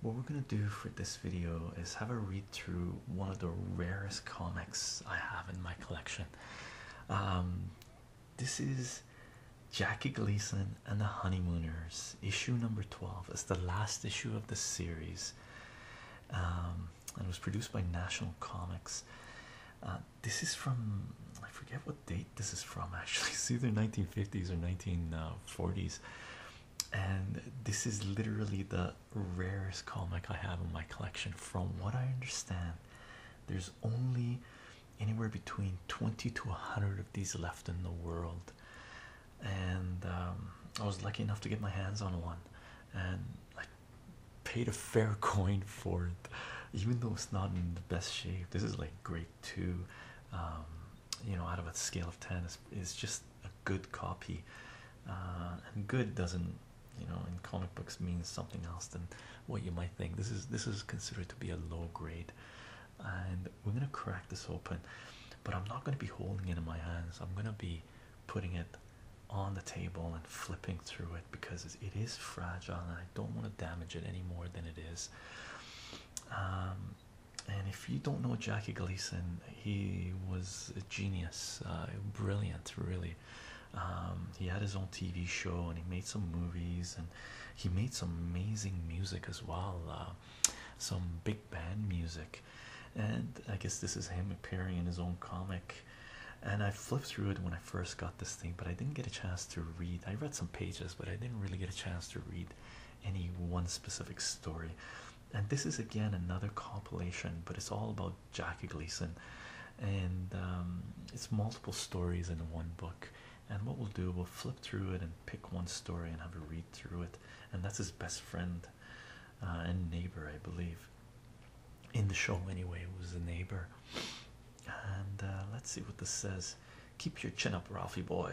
What we're going to do for this video is have a read through one of the rarest comics I have in my collection. Um, this is Jackie Gleason and the Honeymooners, issue number 12. It's the last issue of the series um, and it was produced by National Comics. Uh, this is from, I forget what date this is from actually it's either 1950s or 1940s and this is literally the rarest comic i have in my collection from what i understand there's only anywhere between 20 to 100 of these left in the world and um, i was lucky enough to get my hands on one and i paid a fair coin for it even though it's not in the best shape this is like great story um, you know out of a scale of 10 is, is just a good copy uh, and good doesn't you know in comic books means something else than what you might think this is this is considered to be a low grade and we're going to crack this open but i'm not going to be holding it in my hands i'm going to be putting it on the table and flipping through it because it is fragile and i don't want to damage it any more than it is um, and if you don't know Jackie Gleason, he was a genius, uh, brilliant, really. Um, he had his own TV show and he made some movies and he made some amazing music as well, uh, some big band music. And I guess this is him appearing in his own comic. And I flipped through it when I first got this thing, but I didn't get a chance to read. I read some pages, but I didn't really get a chance to read any one specific story. And this is again another compilation, but it's all about Jackie Gleason, and um, it's multiple stories in one book. And what we'll do, we'll flip through it and pick one story and have a read through it. And that's his best friend uh, and neighbor, I believe. In the show, anyway, was a neighbor. And uh, let's see what this says. Keep your chin up, Ralphie boy.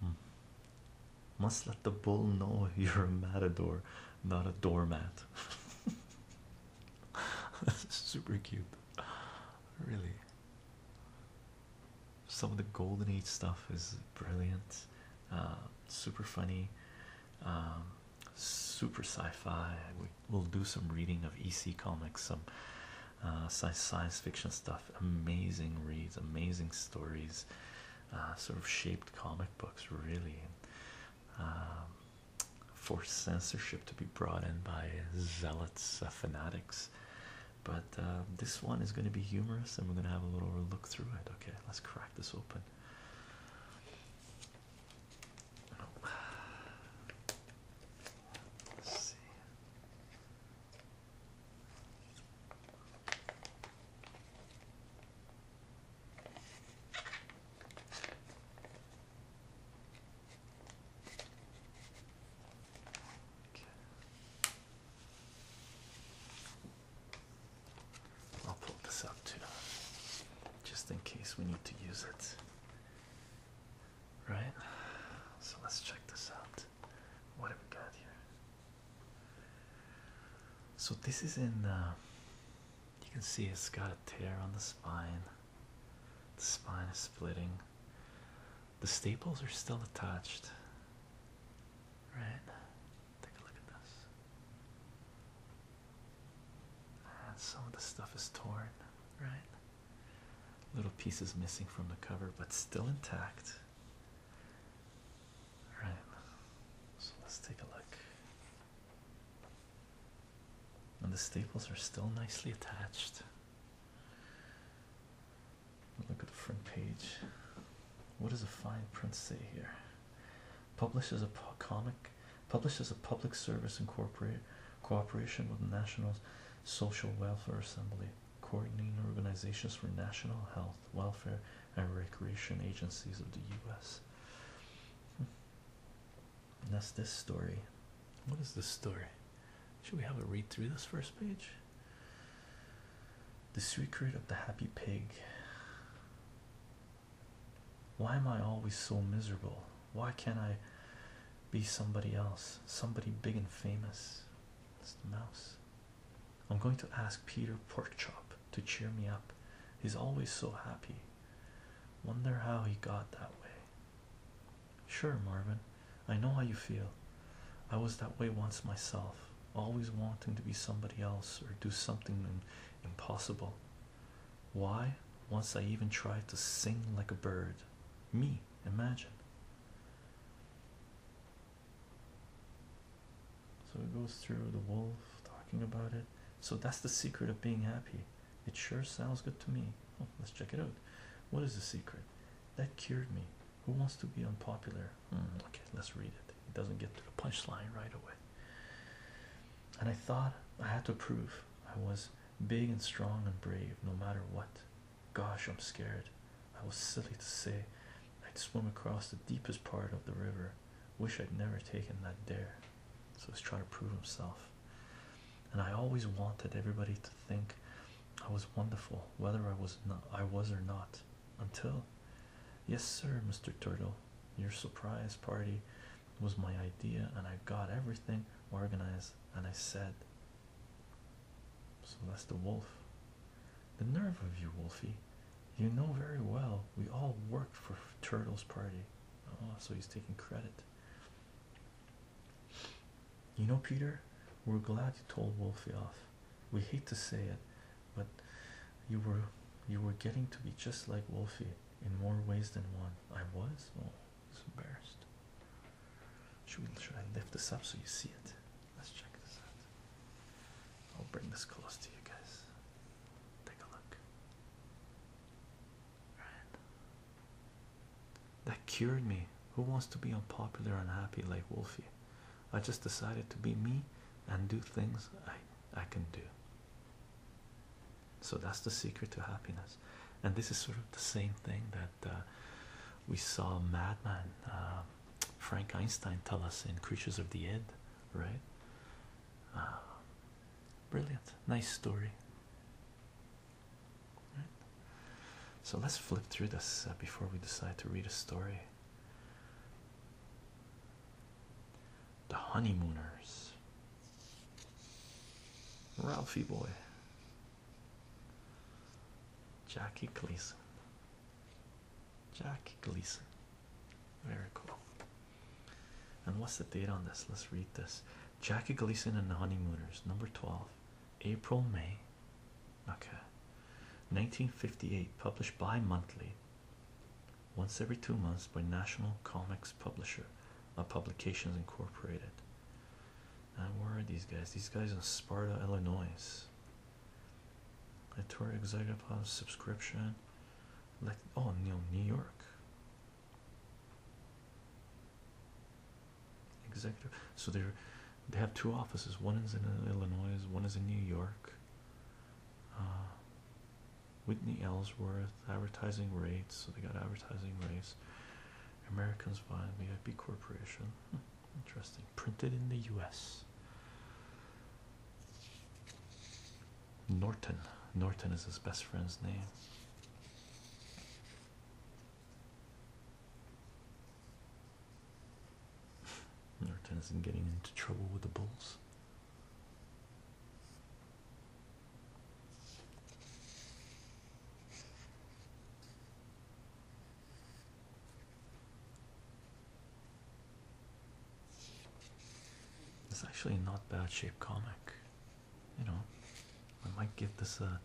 Hmm. Must let the bull know you're a matador, not a doormat. That's super cute, really. Some of the golden age stuff is brilliant, uh, super funny, um, super sci fi we'll do some reading of EC comics, some uh, science fiction stuff. Amazing reads, amazing stories, uh, sort of shaped comic books, really. Um, forced censorship to be brought in by zealots, uh, fanatics. But uh, this one is going to be humorous, and we're going to have a little look through it. Okay, let's crack this open. I'll pull this up too, just in case we need to use it right? So let's check this out. What have we got here? So this is in. Uh, you can see it's got a tear on the spine. The spine is splitting. The staples are still attached. Right? Take a look at this. some of the stuff is torn, right? Little pieces missing from the cover, but still intact. All right, so let's take a look. And the staples are still nicely attached. Look at the front page. What does a fine print say here? Published as a comic, Published as a public service incorporate cooperation with National Social Welfare Assembly, coordinating organizations for national health, welfare, and recreation agencies of the U.S. And hmm. that's this story. What is this story? Should we have a read through this first page? The secret of the happy pig. Why am I always so miserable? Why can't I be somebody else? Somebody big and famous. It's the mouse. I'm going to ask Peter Porkchop to cheer me up. He's always so happy. Wonder how he got that way. Sure, Marvin. I know how you feel. I was that way once myself, always wanting to be somebody else or do something impossible. Why? Once I even tried to sing like a bird. Me. Imagine. So it goes through the wolf talking about it. So that's the secret of being happy. It sure sounds good to me. Oh, let's check it out. What is the secret? That cured me. Who wants to be unpopular? Hmm, okay, let's read it. It doesn't get to the punchline right away. And I thought I had to prove I was big and strong and brave no matter what. Gosh, I'm scared. I was silly to say I'd swim across the deepest part of the river. Wish I'd never taken that dare. So he's trying to prove himself. And I always wanted everybody to think I was wonderful, whether I was I was or not. Until Yes sir, Mr. Turtle. Your surprise party was my idea and I got everything organized and I said so that's the wolf. The nerve of you, Wolfie. You know very well we all worked for Turtle's party. Oh, so he's taking credit. You know, Peter, we're glad you told Wolfie off. We hate to say it, but you were you were getting to be just like Wolfie in more ways than one. I was? He's embarrassed. Should, we, should I lift this up so you see it? Let's check this out. I'll bring this close to you guys. Take a look. That cured me. Who wants to be unpopular unhappy like Wolfie? I just decided to be me and do things I, I can do. So that's the secret to happiness. And this is sort of the same thing that uh, we saw Madman uh, Frank Einstein tell us in Creatures of the Id, right? Uh, brilliant, nice story. So let's flip through this uh, before we decide to read a story. The Honeymooners. Ralphie boy. Jackie Gleason. Jackie Gleason. Very cool. And what's the date on this? Let's read this. Jackie Gleason and the Honeymooners, number 12, April, May. Okay. 1958, published bi monthly, once every two months by National Comics Publisher, uh, Publications Incorporated where are these guys? These guys in Sparta, Illinois. I tour executive house subscription. Like oh New York. Executive. So they're they have two offices. One is in Illinois. One is in New York. Uh, Whitney Ellsworth advertising rates. So they got advertising rates. Americans via VIP Corporation. interesting. Printed in the US. Norton. Norton is his best friend's name. Norton isn't getting into trouble with the Bulls. It's actually not bad shape comic. You know, I might give this a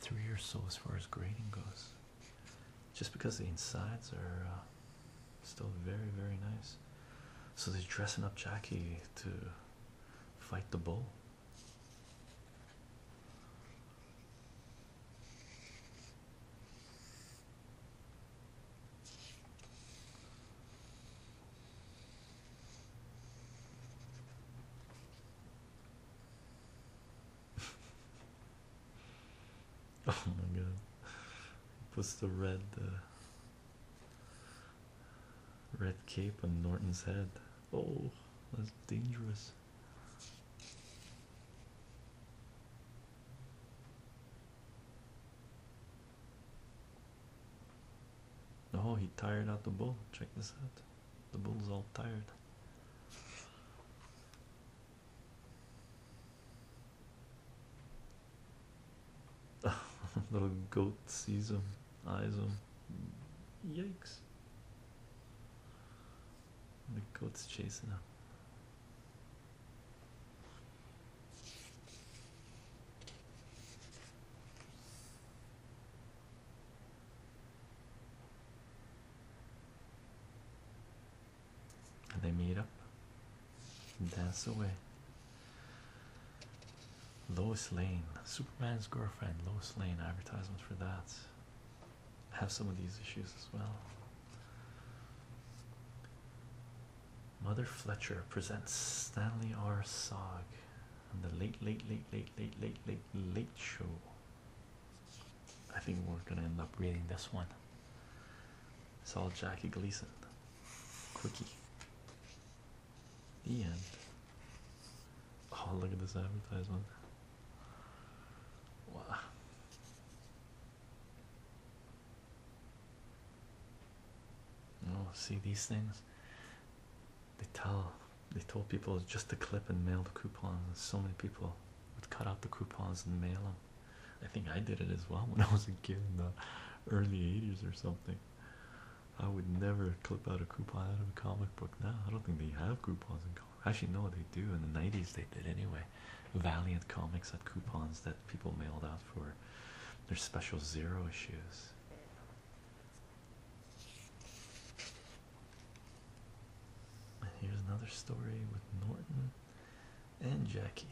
three or so as far as grading goes. Just because the insides are uh, still very, very nice. So they're dressing up Jackie to fight the bull. oh my god. Puts the red uh, red cape on Norton's head. Oh, that's dangerous. Oh, he tired out the bull. Check this out. The bull's all tired. Little goat sees him, eyes him. Yikes. The goat's chasing him. And they meet up and dance away. Lois Lane, Superman's girlfriend, Lois Lane, advertisement for that have some of these issues as well. Mother Fletcher presents Stanley R. Sog on the late, late, late, late, late, late, late, late show. I think we're going to end up reading this one. It's all Jackie Gleason. Quickie. The end. Oh, look at this advertisement. Wow. Oh, see these things. They tell they told people just to clip and mail the coupons. So many people would cut out the coupons and mail them. I think I did it as well when I was a kid in the early 80s or something. I would never clip out a coupon out of a comic book now. I don't think they have coupons in Actually, no, they do. In the 90s, they did anyway. Valiant Comics had coupons that people mailed out for their special zero issues. And here's another story with Norton and Jackie.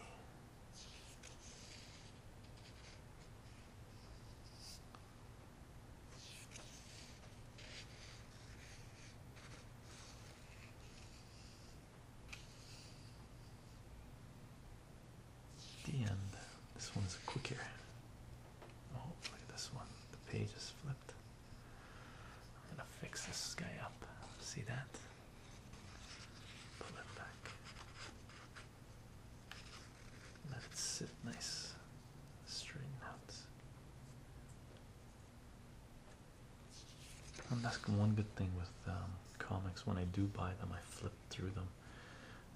The end. This one's quicker. Oh, look at this one. The page is flipped. I'm gonna fix this guy up. See that? Pull it back. Let it sit nice. Straighten out. And that's one good thing with um, comics. When I do buy them, I flip through them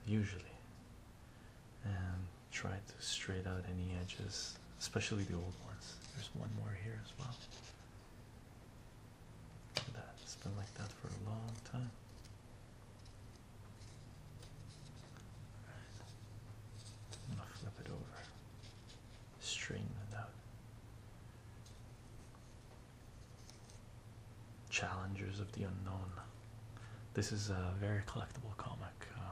usually and try to straight out any edges, especially the old ones. There's one more here as well. that. It's been like that for a long time. I'm flip it over. Straighten it out. Challengers of the Unknown. This is a very collectible comic. Uh,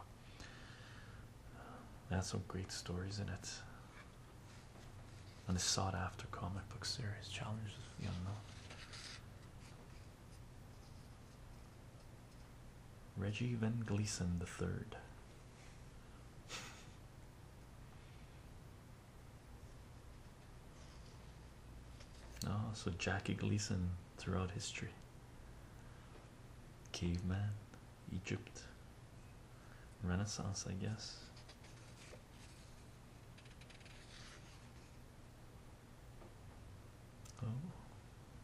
uh that's some great stories in it. And a sought after comic book series, Challenges of the Unknown. Reggie Van Gleason the third. Oh, so Jackie Gleason throughout history. Caveman, Egypt, Renaissance, I guess. Oh,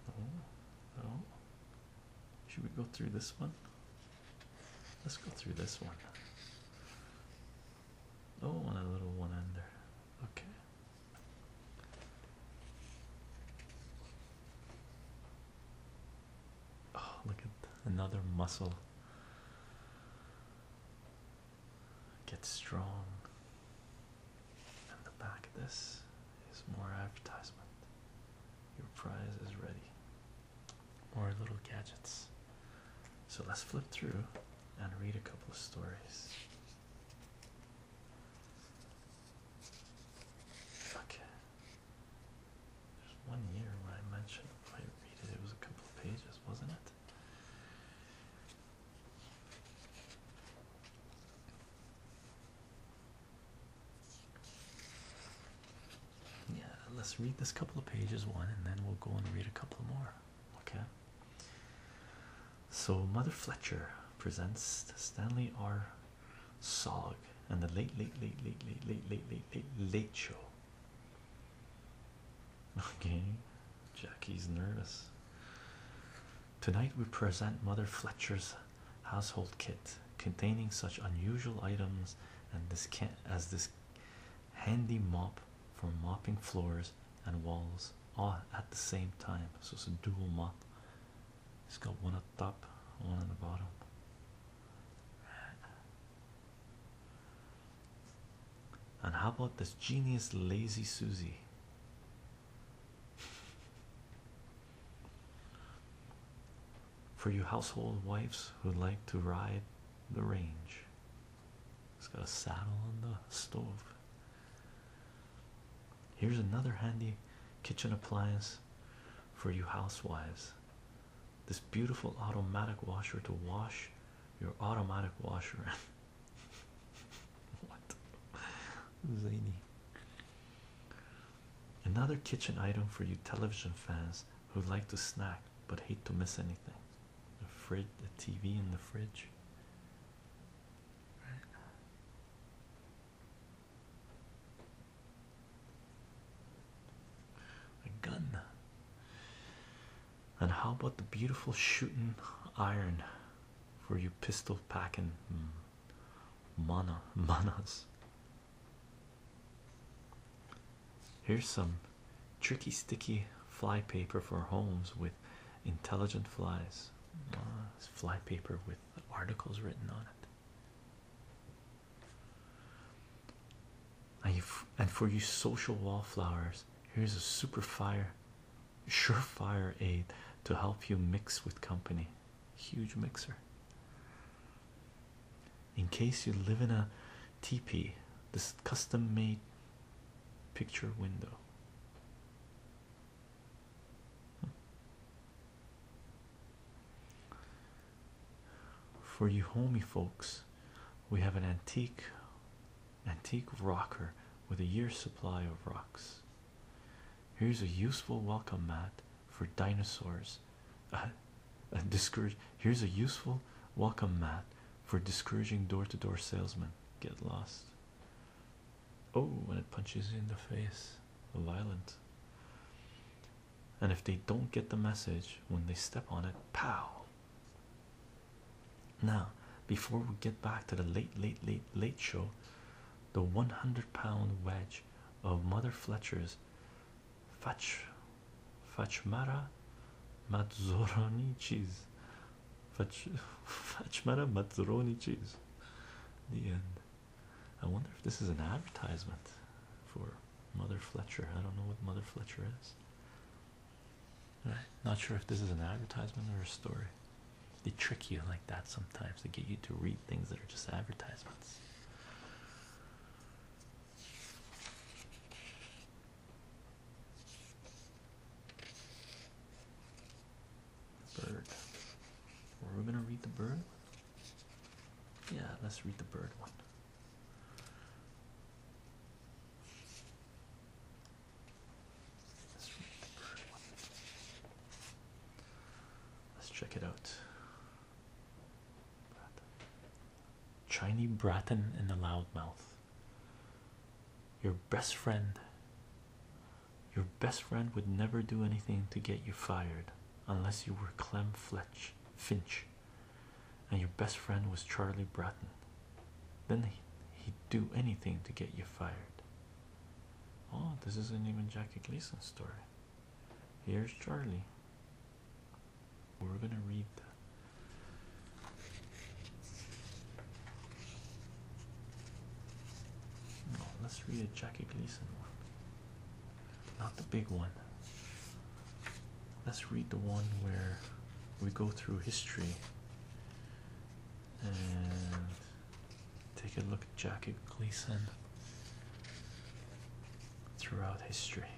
oh, oh. Should we go through this one? Let's go through this one. Oh, and a little one ender. Okay. Oh, look at another muscle. Get strong. And the back of this. It's more advertisement. Your prize is ready. More little gadgets. So let's flip through and read a couple of stories. Okay. There's one year where I mentioned I read it, it was a couple of pages, wasn't it? Yeah, let's read this couple of pages one and then we'll go and read a couple more. Okay. So, Mother Fletcher presents Stanley R. Solog and the late, late, late, late, late, late, late, late, late, late show. Okay, Jackie's nervous. Tonight we present Mother Fletcher's household kit containing such unusual items and this can as this handy mop for mopping floors and walls all at the same time. So it's a dual mop. It's got one up top, one at the bottom. And how about this genius lazy Susie? For you household wives who like to ride the range, it's got a saddle on the stove. Here's another handy kitchen appliance for you housewives. This beautiful automatic washer to wash your automatic washer. what? Zany. Another kitchen item for you television fans who like to snack but hate to miss anything. A fridge, a TV in the fridge. Right. A gun. And how about the beautiful shooting iron for you pistol packing? Hmm mana manas. Here's some tricky sticky fly paper for homes with intelligent flies. Uh, fly paper with articles written on it. and for you social wallflowers, here's a super fire, surefire aid to help you mix with company huge mixer. In case you live in a teepee, this custom made picture window. Hmm. For you homie folks, we have an antique antique rocker with a year's supply of rocks. Here's a useful welcome mat for dinosaurs. Here's a useful welcome mat for discouraging door-to-door salesmen. Get lost. Oh, when it punches you in the face, violent. And if they don't get the message when they step on it, pow. Now, before we get back to the late, late, late, late show, the 100 pound wedge of Mother Fletcher's Fach Fachmara Mazzoroni cheese. Fach Fachmara Mazzoroni cheese. The end. I wonder if this is an advertisement for Mother Fletcher. I don't know what Mother Fletcher is. Right. Uh, not sure if this is an advertisement or a story. They trick you like that sometimes. They get you to read things that are just advertisements. Bird. We're we gonna read the bird. Yeah, let's read the bird one. Let's read the bird one. Let's check it out. Chiny Bratton in the loudmouth. Your best friend. Your best friend would never do anything to get you fired unless you were Clem Fletch Finch. And your best friend was Charlie Bratton. Then he, would do anything to get you fired. Oh, this is not even Jackie Gleason's story. Here's Charlie. We're gonna read that. let's read a Jackie Gleason Not the big one. Let's read the one where we go through history and Take a look at Jackie Gleason throughout history.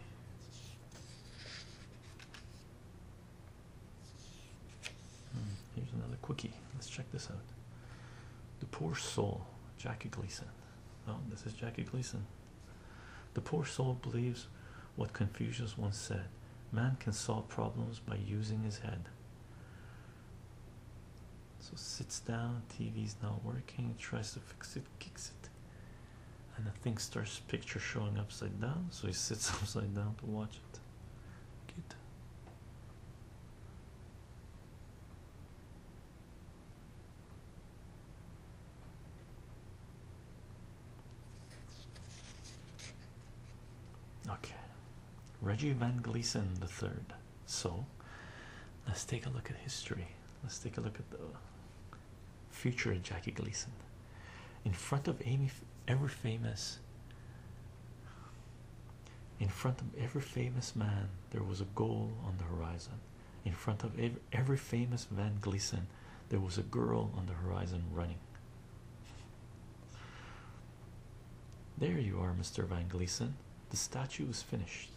Hmm, here's another quickie. Let's check this out. The Poor Soul, Jackie Gleason. Oh, this is Jackie Gleason. The poor soul believes what Confucius once said man can solve problems by using his head. So sits down, TV is not working, tries to fix it, kicks it, and the thing starts picture showing upside down. So he sits upside down to watch it. Good. Okay, Reggie Van Gleason the third. So let's take a look at history. Let's take a look at the future of Jackie Gleason. In front of Amy, ever famous. In front of every famous man, there was a goal on the horizon. In front of every, every famous Van Gleason, there was a girl on the horizon running. There you are, Mr. Van Gleason. The statue is finished.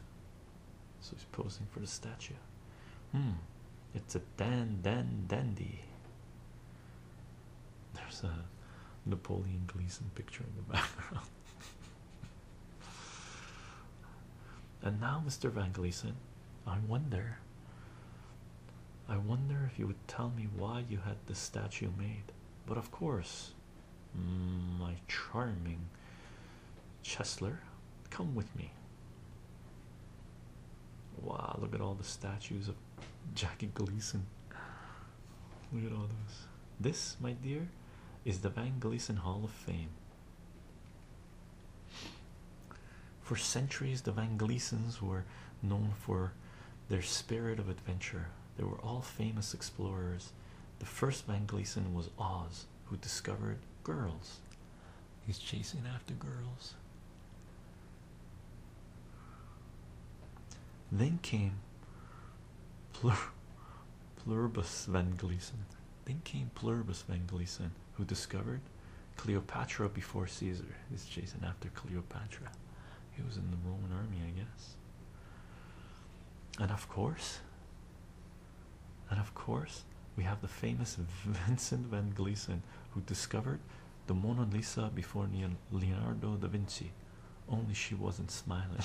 So he's posing for the statue. Hmm, it's a dan dan dandy. There's a Napoleon Gleason picture in the background. and now, Mr. Van Gleason, I wonder. I wonder if you would tell me why you had this statue made. But of course, my charming Chesler, come with me. Wow, look at all the statues of Jackie Gleason. Look at all those. This, my dear, is the Van Gleason Hall of Fame. For centuries, the Van Gleasons were known for their spirit of adventure. They were all famous explorers. The first Van Gleason was Oz, who discovered girls. He's chasing after girls. Then came Pluribus Van Gleason. Then came Pluribus Van Gleason, who discovered Cleopatra before Caesar. He's chasing after Cleopatra. He was in the Roman army, I guess. And of course, and of course, we have the famous Vincent van Gleason, who discovered the Mona Lisa before Leonardo da Vinci. Only she wasn't smiling.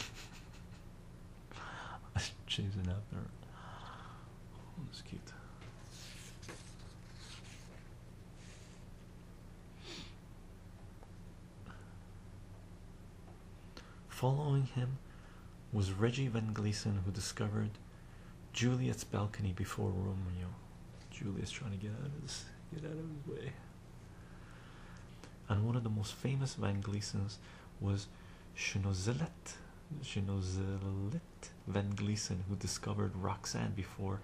She's am chasing there. her. Oh, that's cute. Following him was Reggie Van Gleason, who discovered Juliet's balcony before Romeo. Juliet's trying to get out of his get out of his way. And one of the most famous Van Gleasons was Chinozelet Chinozelet Van Gleason, who discovered Roxanne before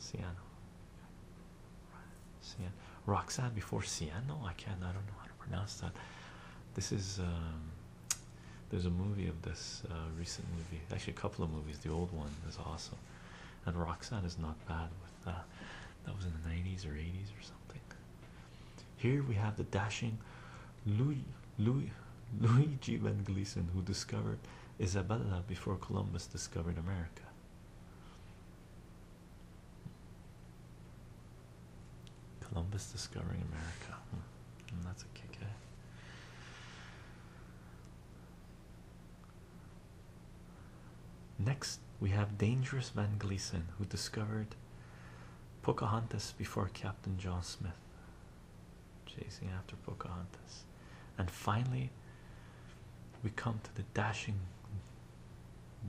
Siano. Cien. Roxanne before Cien? No, I can't. I don't know how to pronounce that. This is um, there's a movie of this uh, recent movie, actually a couple of movies. The old one is awesome, and Roxanne is not bad with that. Uh, that was in the 90s or 80s or something. Here we have the dashing Louis, Louis, Luigi Van Gleason, who discovered Isabella before Columbus discovered America. Columbus discovering America. Hmm. Hmm, that's a kick, eh? Next, we have Dangerous Van Gleason, who discovered Pocahontas before Captain John Smith, chasing after Pocahontas. And finally, we come to the dashing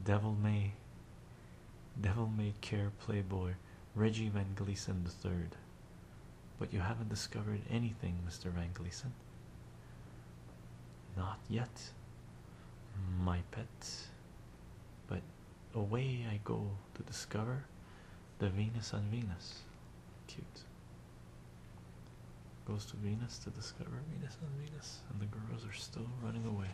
devil may devil may care playboy reggie van gleason the third but you haven't discovered anything mr van gleason not yet my pet but away i go to discover the venus on venus cute Goes to Venus to discover Venus on Venus, and the girls are still running away.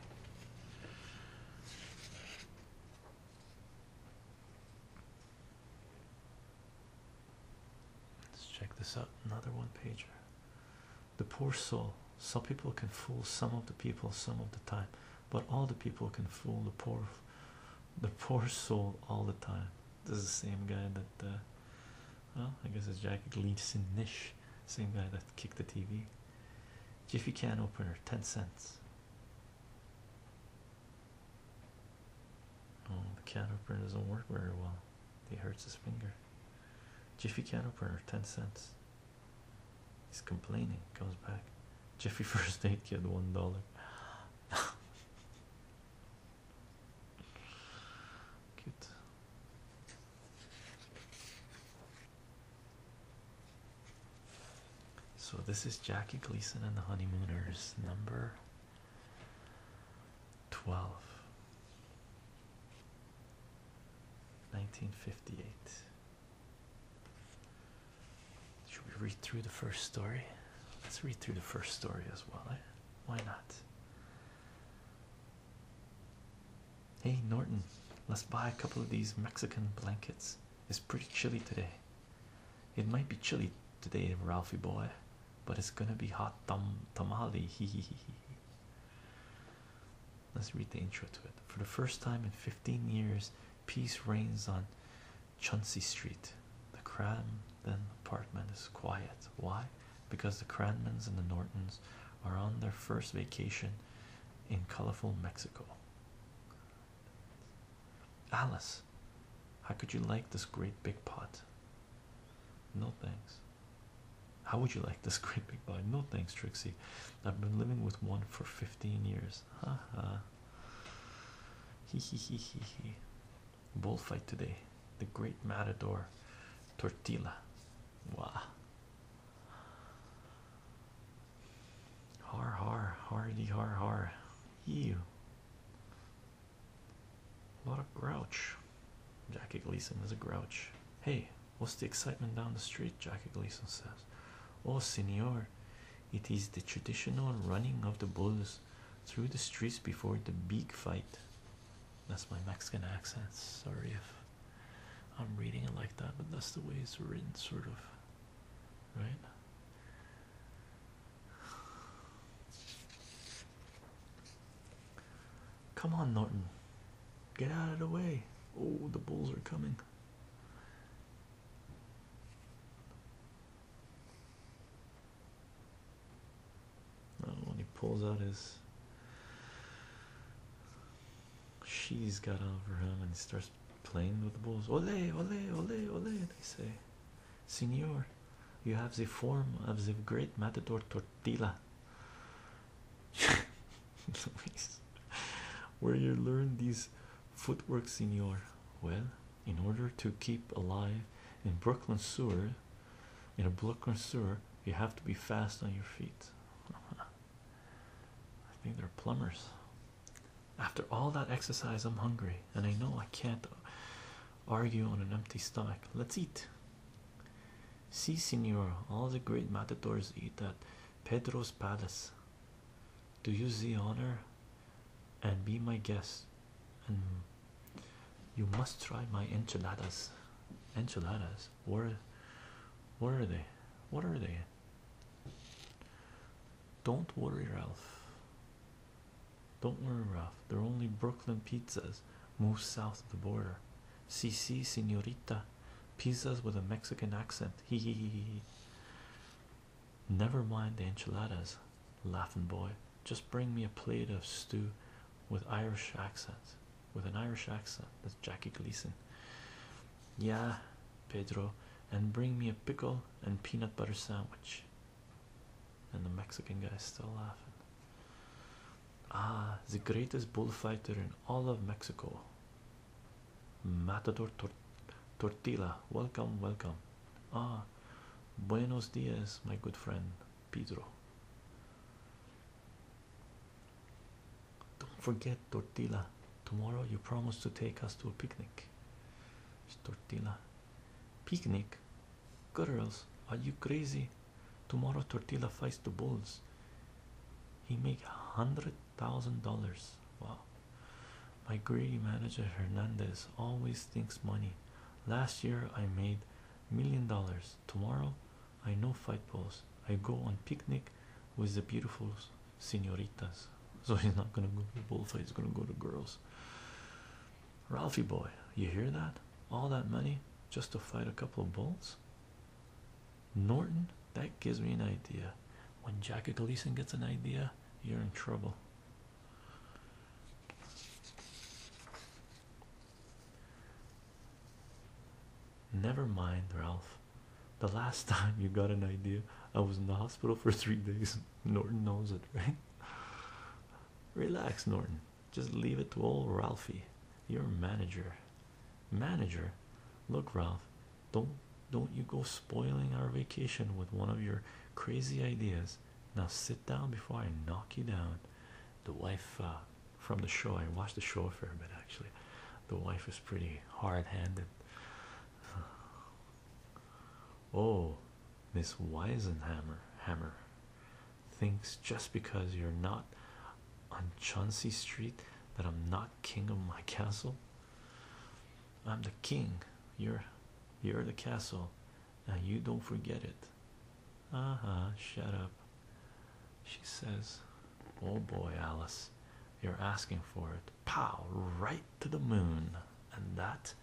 Let's check this out. Another one pager. The poor soul. Some people can fool some of the people some of the time, but all the people can fool the poor, the poor soul all the time. This is the same guy that, uh, well, I guess it's Jack Gleason Nish, same guy that kicked the TV. Jiffy can opener, 10 cents. Oh, the can opener doesn't work very well. He hurts his finger. Jiffy can opener, 10 cents. He's complaining, comes back. Jiffy first aid kid, $1. So this is Jackie Gleason and the Honeymooners, number 12, 1958. Should we read through the first story? Let's read through the first story as well. Eh? Why not? Hey Norton, let's buy a couple of these Mexican blankets. It's pretty chilly today. It might be chilly today, Ralphie boy, but it's gonna be hot tam tamale. Hee hee hee hee. Let's read the intro to it. For the first time in 15 years, peace reigns on Chauncey Street. The crime then the apartment is quiet. Why? Because the Cranmans and the Nortons are on their first vacation in colorful Mexico. Alice, how could you like this great big pot? No thanks. How would you like this great big pot? No thanks, Trixie. I've been living with one for 15 years. Ha ha bullfight today. The great matador Tortilla. Wow. Har har har de har har. Ew. A lot of grouch. Jackie Gleason is a grouch. Hey, what's the excitement down the street? Jackie Gleason says. Oh, senor, it is the traditional running of the bulls through the streets before the big fight. That's my Mexican accent. Sorry if I'm reading it like that, but that's the way it's written, sort of. Right? Come on, Norton. Get out of the way. Oh, the bulls are coming when he pulls out his she's got over him and he starts playing with the bulls. Ole, ole, ole, ole, they say. Senor, you have the form of the great matador Tortilla. Where you learn these footwork, senor? Well, in order to keep alive in Brooklyn sewer, in a blood connoisseur, you have to be fast on your feet. I think they're plumbers. After all that exercise, I'm hungry, and I know I can't argue on an empty stomach. Let's eat. Si, senor, all the great matadors eat at Pedro's Palace. Do you see honor and be my guest you must try my enchiladas. Enchiladas. Where, where are they? What are they? Don't worry, Ralph. Don't worry, Ralph. They're only Brooklyn pizzas. Move south of the border. Si, si, senorita. Pizzas with a Mexican accent. Hee hee hee. Never mind the enchiladas, laughing boy. Just bring me a plate of stew with Irish accent. With an Irish accent. That's Jackie Gleason. Yeah, Pedro. And bring me a pickle and peanut butter sandwich. And the Mexican guy is still laughing. Ah, the greatest bullfighter in all of Mexico. Matador Tor Tortilla. Welcome, welcome. Ah, buenos dias, my good friend Pedro. Don't forget tortilla. Tomorrow you promised to take us to a picnic. It's tortilla. Picnic? Girls, are you crazy? Tomorrow tortilla fights the bulls. He make hundred thousand dollars. Wow. My greedy manager Hernandez always thinks money. Last year I made million dollars. Tomorrow I know fight balls. I go on picnic with the beautiful senoritas. So he's not gonna go to bullfight, he's gonna go to girls. Ralphie boy, you hear that? All that money just to fight a couple of bulls? Norton, that gives me an idea. When Jackie Gleason gets an idea, you're in trouble. Never mind, Ralph. The last time you got an idea, I was in the hospital for three days. Norton knows it, right? Relax, Norton. Just leave it to old Ralphie, your manager. Manager, look, Ralph. Don't don't you go spoiling our vacation with one of your crazy ideas. Now sit down before I knock you down. The wife uh, from the show. I watched the show for a bit actually. The wife is pretty hard handed. Uh, oh, Miss Weisenhammer Hammer thinks just because you're not on Chauncey Street that I'm not king of my castle. I'm the king. You're you're the castle and you don't forget it. Uh huh, shut up. She says, Oh boy, Alice, you're asking for it. Pow, right to the moon. And that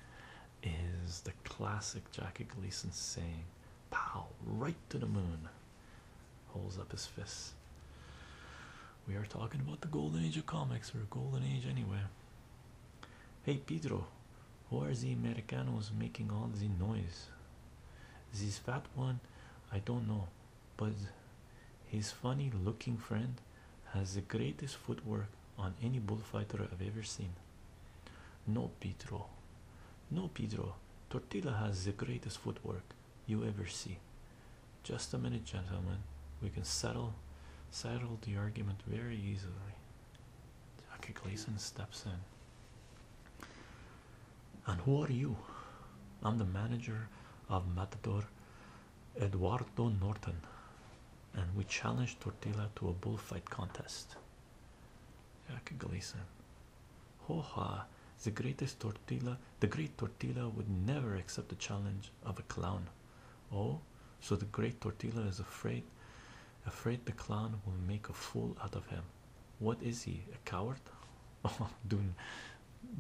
is the classic Jackie Gleason saying, Pow, right to the moon. Holds up his fists. We are talking about the golden age of comics, or golden age anyway. Hey, Pedro, who are the Americanos making all the noise? This fat one, I don't know, but his funny looking friend has the greatest footwork on any bullfighter I've ever seen. No, Pedro. No, Pedro. Tortilla has the greatest footwork you ever see. Just a minute, gentlemen. We can settle, settle the argument very easily. Tucker Gleason steps in. And who are you? I'm the manager of Matador Eduardo Norton, and we challenge Tortilla to a bullfight contest. I Jack Gleason. Hoha, the greatest Tortilla, the great Tortilla would never accept the challenge of a clown. Oh, so the great Tortilla is afraid Afraid the clown will make a fool out of him. What is he? A coward? Oh, I'm doing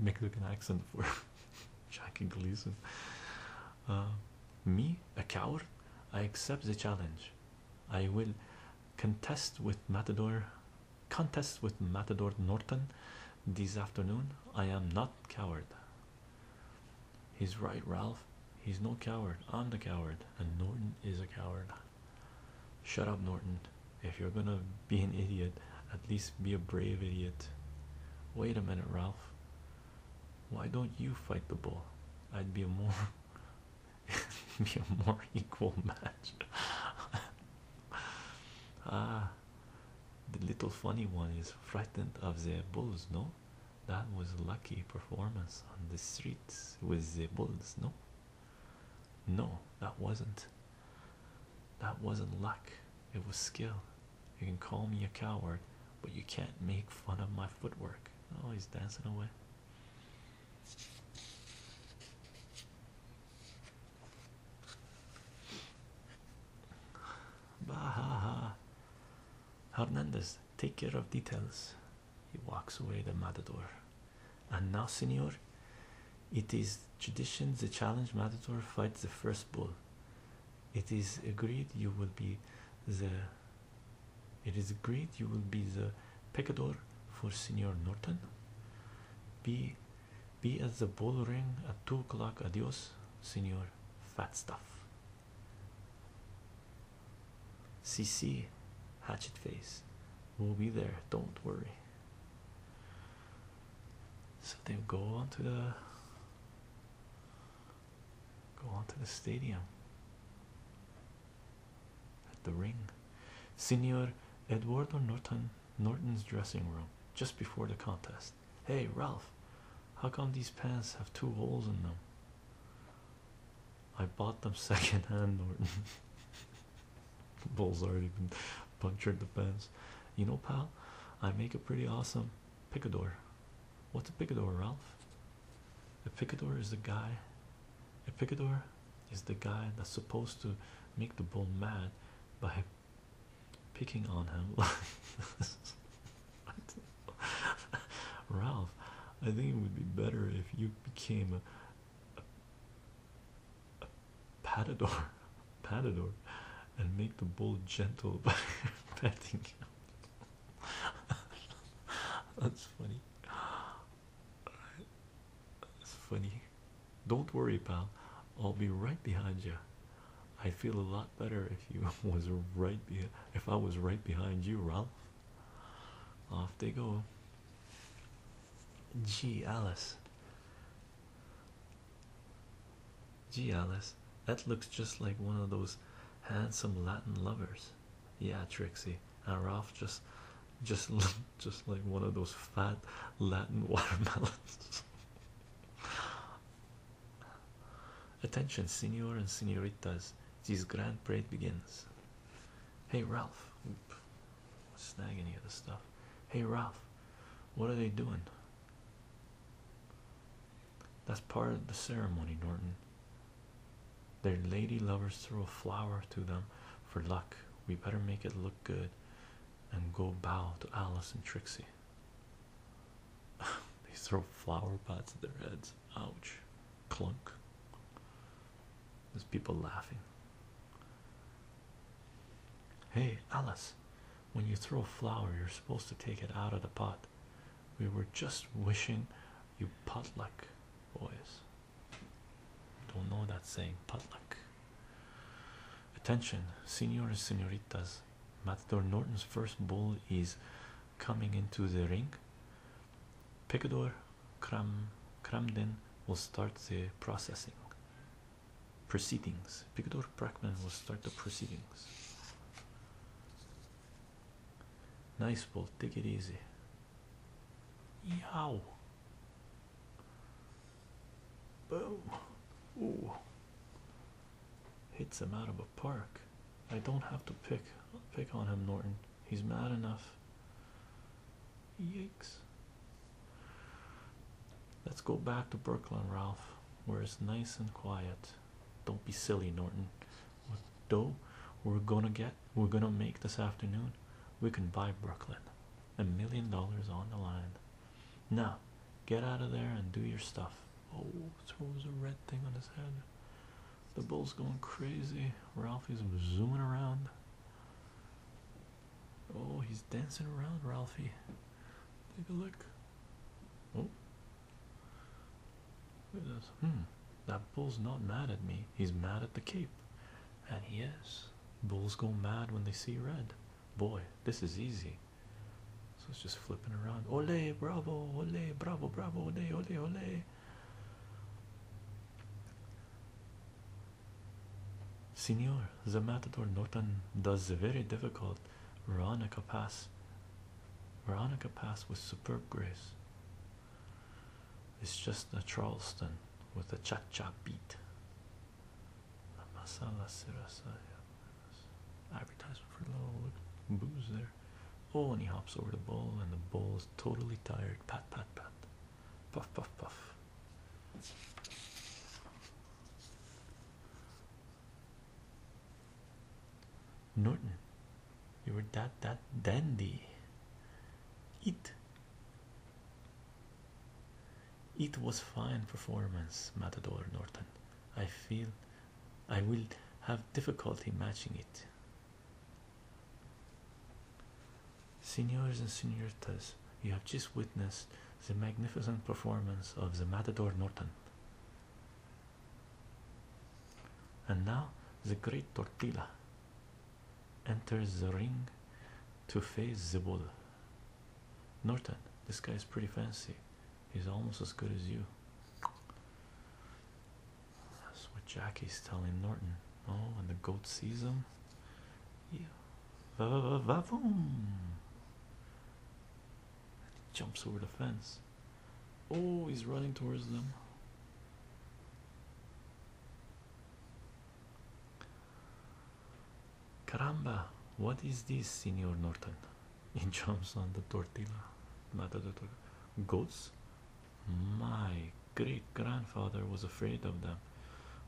Mexican accent for Jackie Gleason. Uh, me? A coward? I accept the challenge. I will contest with Matador. Contest with Matador Norton this afternoon. I am not coward. He's right, Ralph. He's no coward. I'm the coward, and Norton is a coward. Shut up, Norton. If you're gonna be an idiot, at least be a brave idiot. Wait a minute, Ralph. Why don't you fight the bull? I'd be a more be a more equal match. ah, the little funny one is frightened of the bulls, no? That was a lucky performance on the streets with the bulls, no? No, that wasn't. That wasn't luck. It was skill. You can call me a coward, but you can't make fun of my footwork. Oh, he's dancing away. Bah, Hernandez, take care of details. He walks away, the matador. And now, senor, it is tradition the challenge matador fights the first bull. It is agreed you will be the it is agreed you will be the pecador for Senor Norton. Be be at the bullring at two o'clock. Adios, Senor Fat Stuff. CC Hatchet Face. We'll be there, don't worry. So they go on to the go on to the stadium at the ring. Senor Eduardo Norton Norton's dressing room just before the contest. Hey Ralph, how come these pants have two holes in them? I bought them secondhand. hand, Norton. Bull's already been punctured the fence. You know, pal, I make a pretty awesome picador. What's a picador, Ralph? A picador is the guy. A picador is the guy that's supposed to make the bull mad by picking on him. Ralph, I think it would be better if you became a patador, patador, and make the bull gentle by petting That's funny. That's funny. Don't worry, pal. I'll be right behind you. I would feel a lot better if you was right be if I was right behind you, Ralph. Off they go. Gee, Alice. Gee, Alice. That looks just like one of those handsome Latin lovers. Yeah, Trixie. And Ralph just, just, just like one of those fat Latin watermelons. Attention, senor and senoritas. This grand parade begins. Hey, Ralph. Oop snag any of the stuff. Hey Ralph, what are they doing? That's part of the ceremony, Norton. Their lady lovers throw a flower to them for luck. We better make it look good and go bow to Alice and Trixie. they throw flower pots at their heads. Ouch. Clunk. There's people laughing. Hey, Alice, when you throw a flower, you're supposed to take it out of the pot. We were just wishing you potluck, boys. Don't know that saying, potluck. Attention, senores, senoritas. Matador Norton's first bull is coming into the ring. Picador Cram Cramden will start the processing. Proceedings. Pictor Brackman will start the proceedings. Nice ball. take it easy. Yow. Boom. Ooh. Hits him out of a park. I don't have to pick pick on him, Norton. He's mad enough. Yikes. Let's go back to Brooklyn, Ralph, where it's nice and quiet. Don't be silly, Norton. What dough we're gonna get, we're gonna make this afternoon, we can buy Brooklyn. A million dollars on the line. Now, get out of there and do your stuff. Oh, it's always a red thing on his head. The bull's going crazy. Ralphie's zooming around. Oh, he's dancing around, Ralphie. Take a look. Oh, hmm. that bull's not mad at me. He's mad at the cape, and he is. Bulls go mad when they see red. Boy, this is easy. So it's just flipping around. Ole, bravo, ole, bravo, bravo, ole, ole, ole. Senor, the matador Norton does the very difficult Veronica pass. Veronica pass with superb grace. It's just a Charleston with a cha cha beat. Advertisement for a little booze there. Oh, and he hops over the ball, and the ball is totally tired. Pat, pat, pat. Puff, puff, puff. Norton, you were that that dandy. Eat. It was fine performance, Matador Norton. I feel I will have difficulty matching it. Senors and senoritas, you have just witnessed the magnificent performance of the Matador Norton. And now the great Tortilla enters the ring to face the bull. Norton, this guy is pretty fancy. He's almost as good as you. That's what Jackie's telling Norton. Oh, and the goat sees him. Yeah. boom! He jumps over the fence. Oh, he's running towards them. Caramba, what is this, Senor Norton? He jumps on the tortilla. Not the tortilla. Goats? My great grandfather was afraid of them.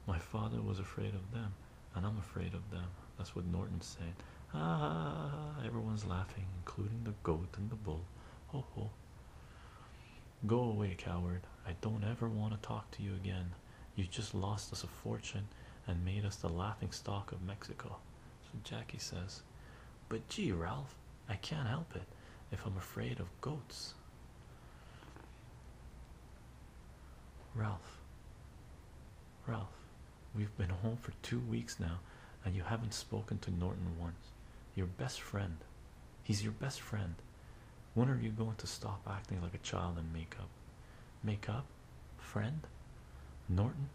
My father was afraid of them, and I'm afraid of them. That's what Norton's saying. Ah, everyone's laughing, including the goat and the bull. Ho ho. Go away, coward. I don't ever want to talk to you again. You just lost us a fortune and made us the laughing stock of Mexico. So Jackie says, But gee, Ralph, I can't help it if I'm afraid of goats. Ralph, Ralph, we've been home for two weeks now, and you haven't spoken to Norton once. Your best friend, he's your best friend. When are you going to stop acting like a child and make up? Make up? Friend? Norton?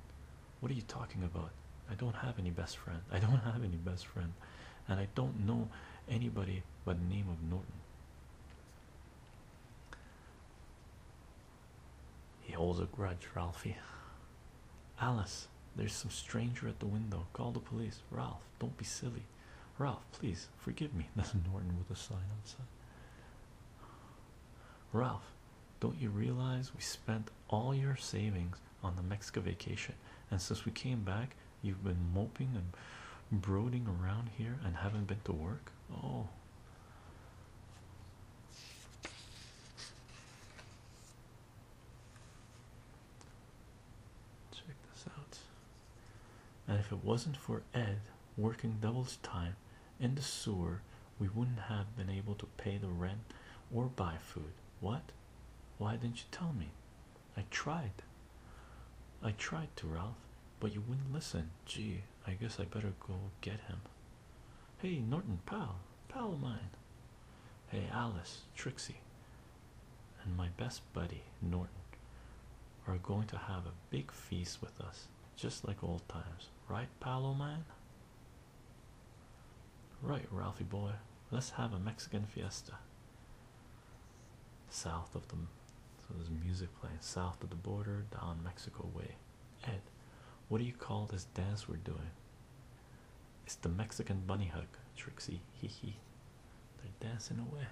What are you talking about? I don't have any best friend. I don't have any best friend and I don't know anybody by the name of Norton. He holds a grudge, Ralphie. Alice, there's some stranger at the window. Call the police. Ralph, don't be silly. Ralph, please forgive me. That's Norton with a sign outside. Ralph, don't you realize we spent all your savings on the Mexico vacation, and since we came back, You've been moping and brooding around here and haven't been to work. Oh, check this out. And if it wasn't for Ed working double time in the sewer, we wouldn't have been able to pay the rent or buy food. What? Why didn't you tell me? I tried. I tried to, Ralph, but you wouldn't listen. Gee, I guess I better go get him. Hey, Norton, pal, pal of mine. Hey, Alice, Trixie, and my best buddy, Norton, are going to have a big feast with us, just like old times. Right, pal of mine? Right, Ralphie boy, let's have a Mexican fiesta south of the, So there's music playing south of the border, down Mexico way. Ed, what do you call this dance we're doing? It's the Mexican bunny hug, Trixie. Hee hee. They're dancing away.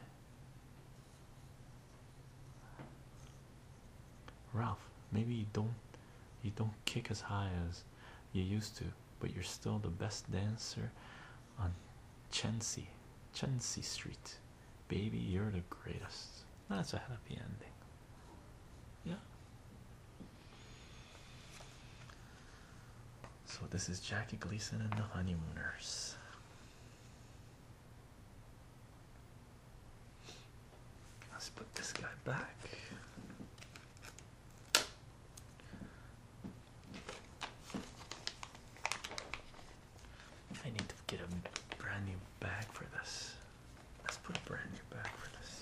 Ralph, maybe you don't you don't kick as high as you used to, but you're still the best dancer on Chenzi, Chenzi Street. Baby, you're the greatest. That's a happy ending. Yeah. So this is Jackie Gleason and the Honeymooners. Let's put this guy back. I need to get a brand new bag for this. Let's put a brand new bag for this.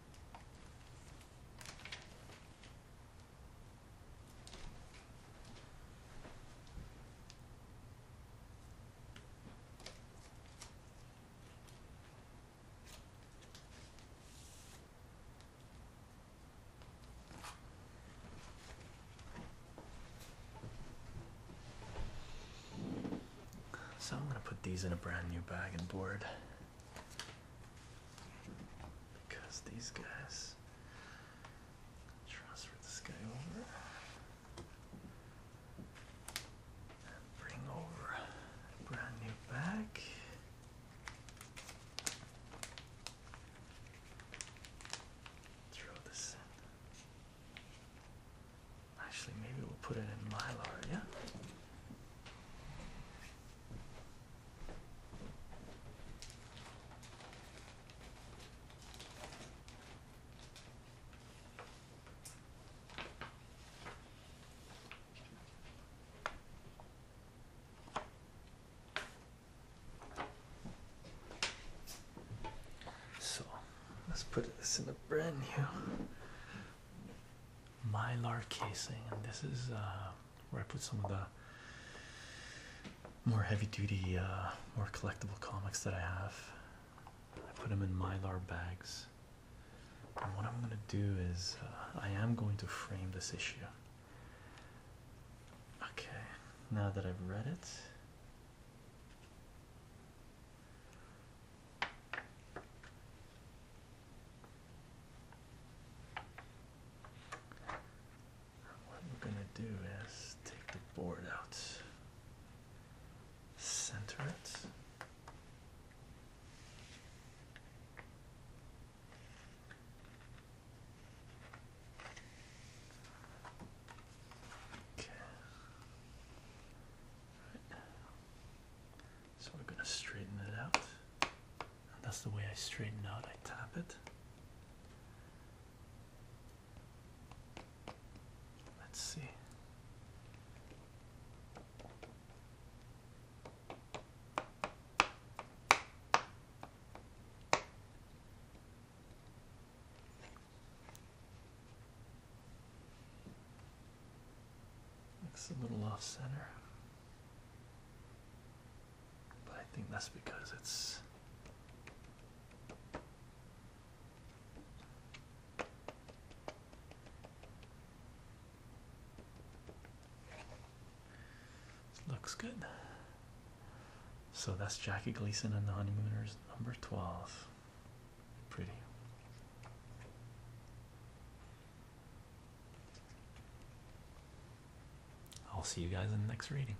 So I'm going to put these in a brand new bag and board because these guys transfer this guy over bring over a brand new bag. Throw this in. Actually, maybe we'll put it in Mylar, yeah? So let's put this in a brand new mylar casing, and this is uh, where I put some of the more heavy duty, uh, more collectible comics that I have. I put them in mylar bags. And what I'm going to do is, uh, I am going to frame this issue. Okay, now that I've read it. What I'm gonna do is take the board out, center it. Okay. So we're going to straighten it out. that's the way I straighten out. I tap it. Let's see. Looks a little off center. But I think that's because it's looks good. So that's Jackie Gleason and the Honeymooners number 12. Pretty. I'll see you guys in the next reading.